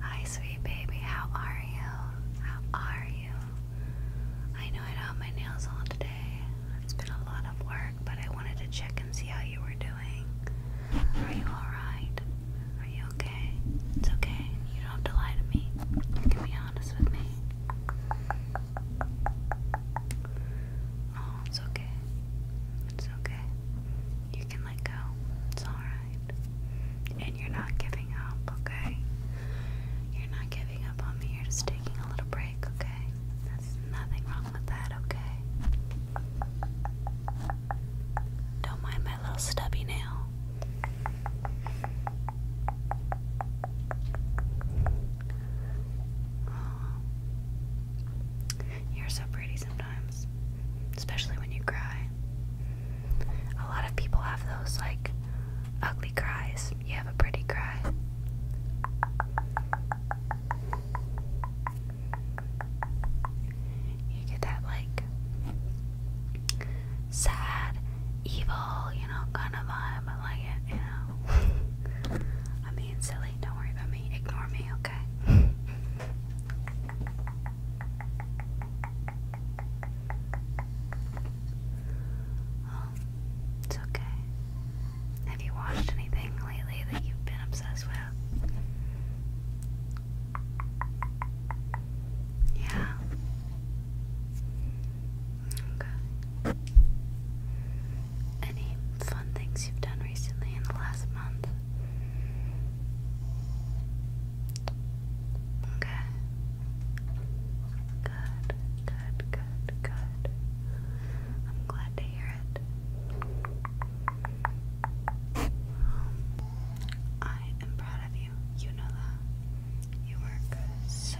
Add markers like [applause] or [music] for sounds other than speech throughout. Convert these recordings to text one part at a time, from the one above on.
Hi, sweet baby. How are you? How are you? I know I don't have my nails on today. It's been a lot of work, but I wanted to check and see how you were doing. Are you alright? Are you okay? It's okay. You don't have to lie to me. You can be honest with me. Oh, it's okay. It's okay. You can let go. It's alright. And you're not giving up, okay? You're not giving up on me. You're just taking a little break, okay? There's nothing wrong with that, okay? Don't mind my little stubby nail. You're so pretty sometimes, especially when you cry. A lot of people have those like ugly cries. You have a pretty cry. You get that like sad, evil, you know, kind of vibe. I like it, you know. [laughs] I mean, silly. Don't worry about me. Ignore me, okay? [laughs] Oh, it's okay. Have you watched anything lately that you've been obsessed with? Yeah. Okay. Any fun things you've done recently in the last month? Okay. Good, good, good, good. I'm glad to hear it. Um, I am proud of you. You know that. You work so,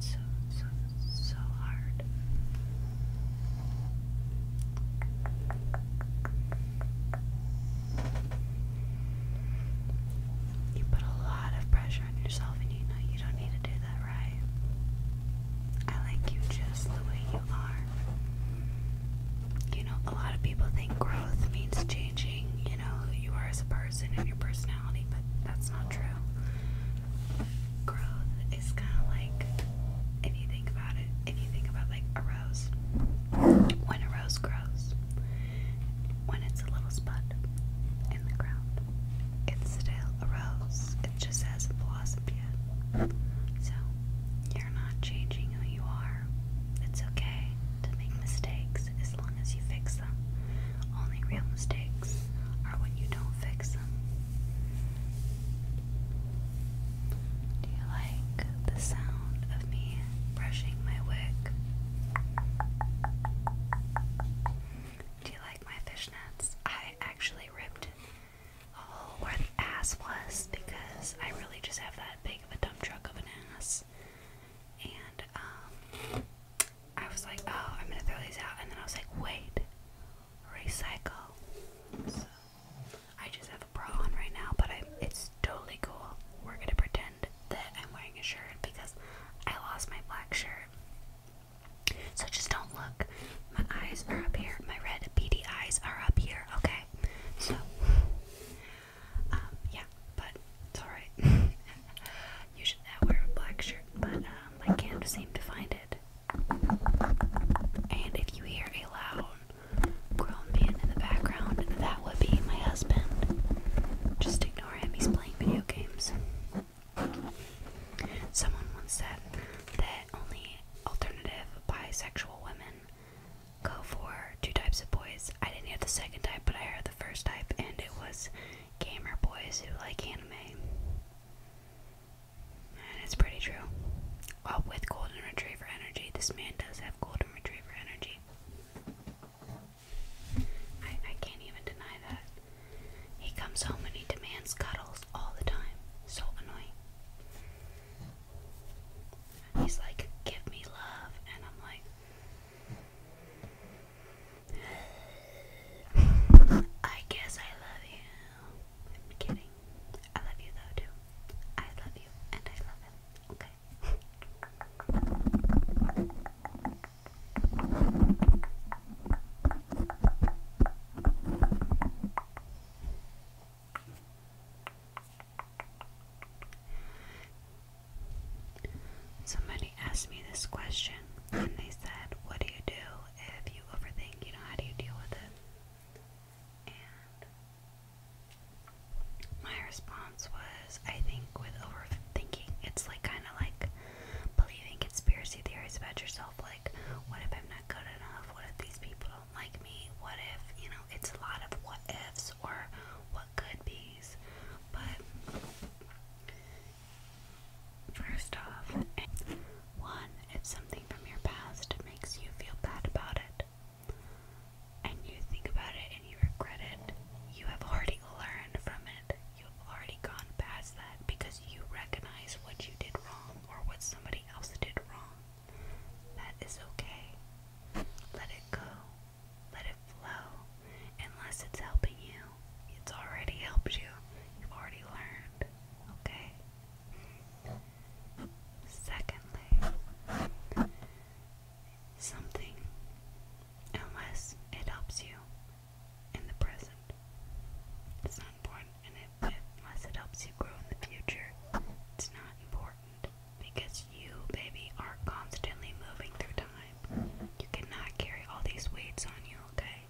so, so, so hard. You put a lot of pressure on yourself, and you know you don't need to do that, right? I like you just the way you are. You know, a lot of people think growth means changing, you know, who you are as a person and your personality, but that's not true growth is kind of like if you think about it, if you think about like a rose, when a rose grows, when it's a little spot in the ground, it's still a rose. It just hasn't blossomed yet. So you're not changing who you are. It's okay to make mistakes as long as you fix them. Only real mistakes are when you don't fix them. Do you like the sound of me brushing my wig? Do you like my fishnets? I actually ripped a hole where the ass was because I really just have that big of a dump truck of an ass. And um I was like, oh, I'm gonna throw these out and then I was like, wait, recycle. So I just have a bra on right now, but it's totally cool. We're gonna pretend that I'm wearing a shirt because I lost my black shirt. So just don't look. My eyes are up here. My red beady eyes are up here. Okay. So, um, yeah, but it's alright. Usually [laughs] I wear a black shirt, but I um, can't seem to find and if you hear a loud grown man in the background, that would be my husband. Just ignore him, he's playing video games. Someone once said that only alternative bisexual women go for two types of boys. I didn't hear the second type, but I heard the first type, and it was gamer boys who like anime. And it's pretty true. with golden retriever energy, this man does have golden retriever energy. I, I can't even deny that. He comes home and he demands cuddles all the time. So annoying. he's like, give me love. And I'm like, I guess I love you. I'm kidding. I love you though too. I love you and I love him. Okay. Somebody somebody asked me this question and they said, What do you do if you overthink? You know, how do you deal with it? And my response was, I think with overthinking, it's like kind of like believing conspiracy theories about yourself. Like, what if I'm not good enough? What if these people don't like me? What if, you know, it's a lot of what ifs or what could be's. But First off, one, if something from your past makes you feel bad about it, and you think about it and you regret it, you have already learned from it. You have already gone past that because you recognize what you did wrong or what somebody else did wrong. That is okay. Let it go. Let it flow. Unless it's helping you, it's already helped you. You've already learned. Okay? Secondly, something, unless it helps you in the present, it's not important. And it, unless it helps you grow in the future, it's not important. Because you, baby, are constantly moving through time. You cannot carry all these weights on you, okay?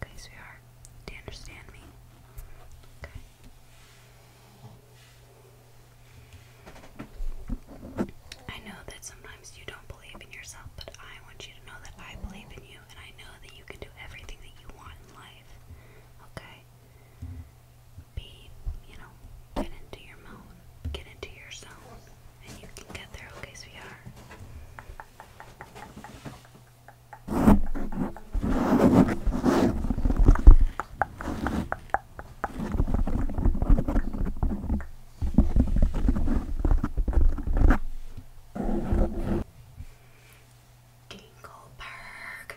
Okay, sweetheart. Do you understand me? Okay. I know that sometimes you don't believe in yourself, but I want you to know that I believe in you and I know that you can do everything that you want in life. Okay? Be, you know, get into your moan, get into your zone. And you can get there, okay, sweetheart. Dingleberg.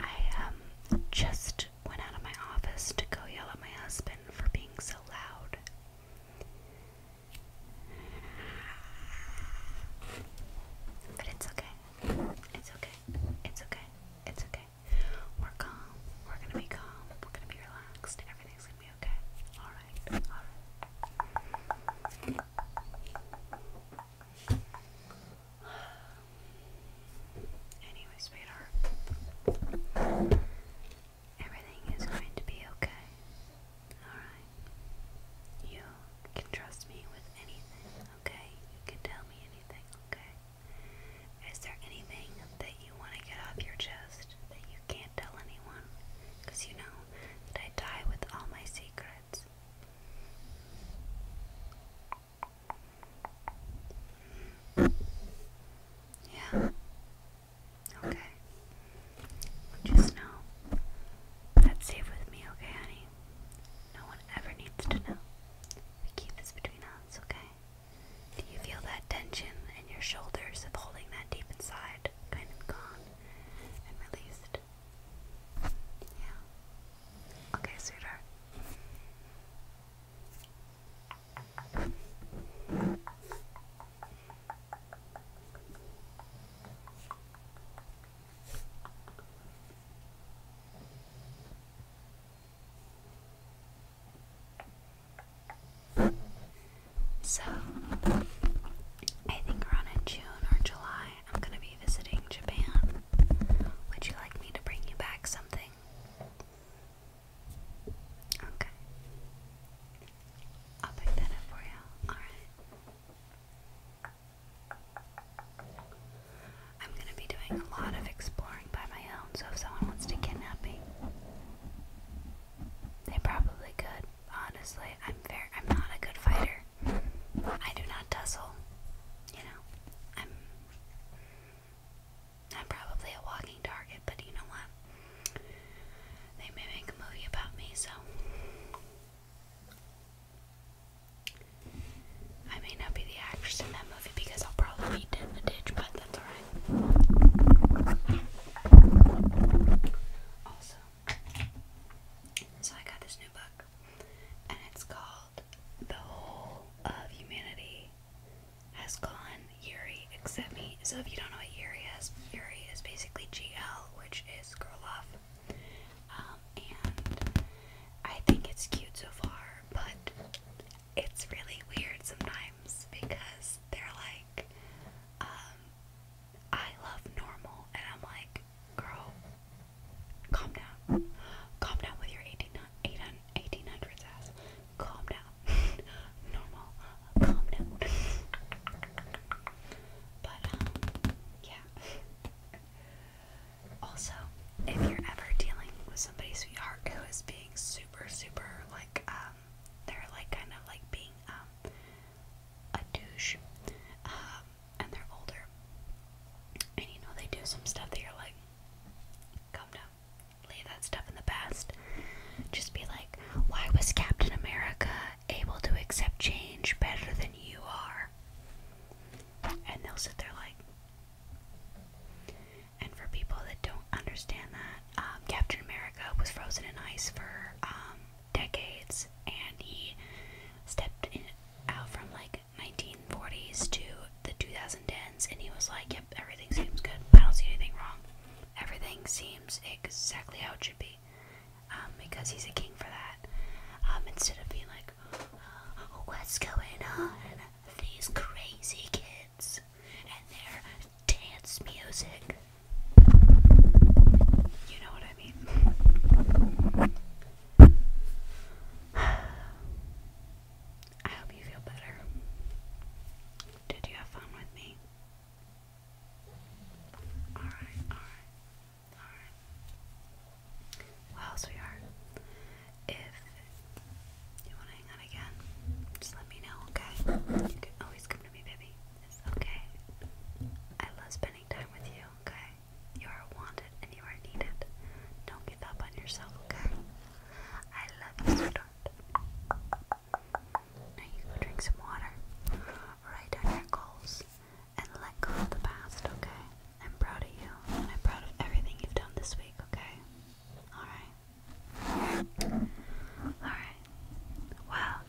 I um just left, went out of my office to go yell at my husband for being so loud. But it's okay. It's okay. It's okay. It's okay. We're calm. We're gonna be calm. We're gonna be relaxed. Everything's gonna be okay. Alright. Alright. Anyway, sweetheart, everything is going to be okay. Alright? You can trust me with anything, okay? You can tell me anything, okay? Is there anything that you want to get off your chest that you can't tell anyone? Because you know that I die with all my secrets. Yeah. Okay. Just know that's safe with me, okay, honey? No one ever needs to know. We keep this between us, okay? Do you feel that tension in your shoulders of holding that deep inside kind of gone and released? Yeah. Okay, sweetheart. So, I think around in June or July, I'm gonna be visiting Japan. Would you like me to bring you back something? Okay. I'll pick that up for you. Alright. I'm gonna be doing a lot of exploring by my own, so if someone wants to kidnap me, they probably could. Honestly, I'm fair I'm not a good fighter. I do not tussle. You know, I'm I'm probably a walking target, but you know what? They may make a movie about me, so I may not be the actress in that movie because I'll probably be in a ditch, but that's alright. Also, so I got this new book, and it's called the whole of humanity has gone Yuri except me. So if you don't know what Yuri is, Yuri is basically GL, which is girl love. Um, and I think it's cute so far, but it's really weird sometimes because they're like, um, I love normal, and I'm like, girl, Calm down. Calm down with your 18, 1800s ass. Calm down. [laughs] Normal. Calm down. [laughs] But, um, yeah. Also, if you're ever dealing with somebody's sweetheart who is being super, super, like, um, they're like kind of like being, um, a douche, um, and they're older. And you know, they do some stuff that you're like, come now, leave that stuff in the past. Just be like, why was Captain America able to accept change better than you are? And they'll sit there like, and for people that don't understand that, um, Captain America was frozen in ice for um, decades, and he stepped in, out from like 1940s to the 2010s, and he was like, "Yep, everything seems good. I don't see anything wrong. Everything seems exactly how it should be." Um, because he's a king for that. Um, instead of being like, oh, "What's going on? These crazy kids and their dance music." You know what I I mean, I hope you feel better. Did you have fun with me? Alright, alright, alright. Well, sweetheart, if you want to hang out again, just let me know, okay? You can always come to me, baby. okay. I love spending time with you, okay? You are wanted and you are needed. Don't give up on yourself, okay? I love you, sweetheart. Now you go drink some water, write down your goals, and let go of the past, okay? I'm proud of you, and I'm proud of everything you've done this week, okay? Alright. Alright. Well,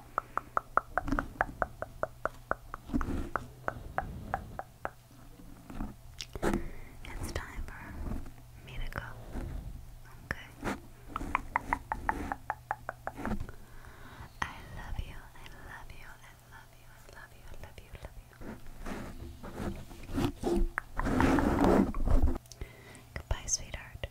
it's time for me to go. Okay. I love you. I love you. I love you. I love you. I love you. love you. Goodbye, sweetheart.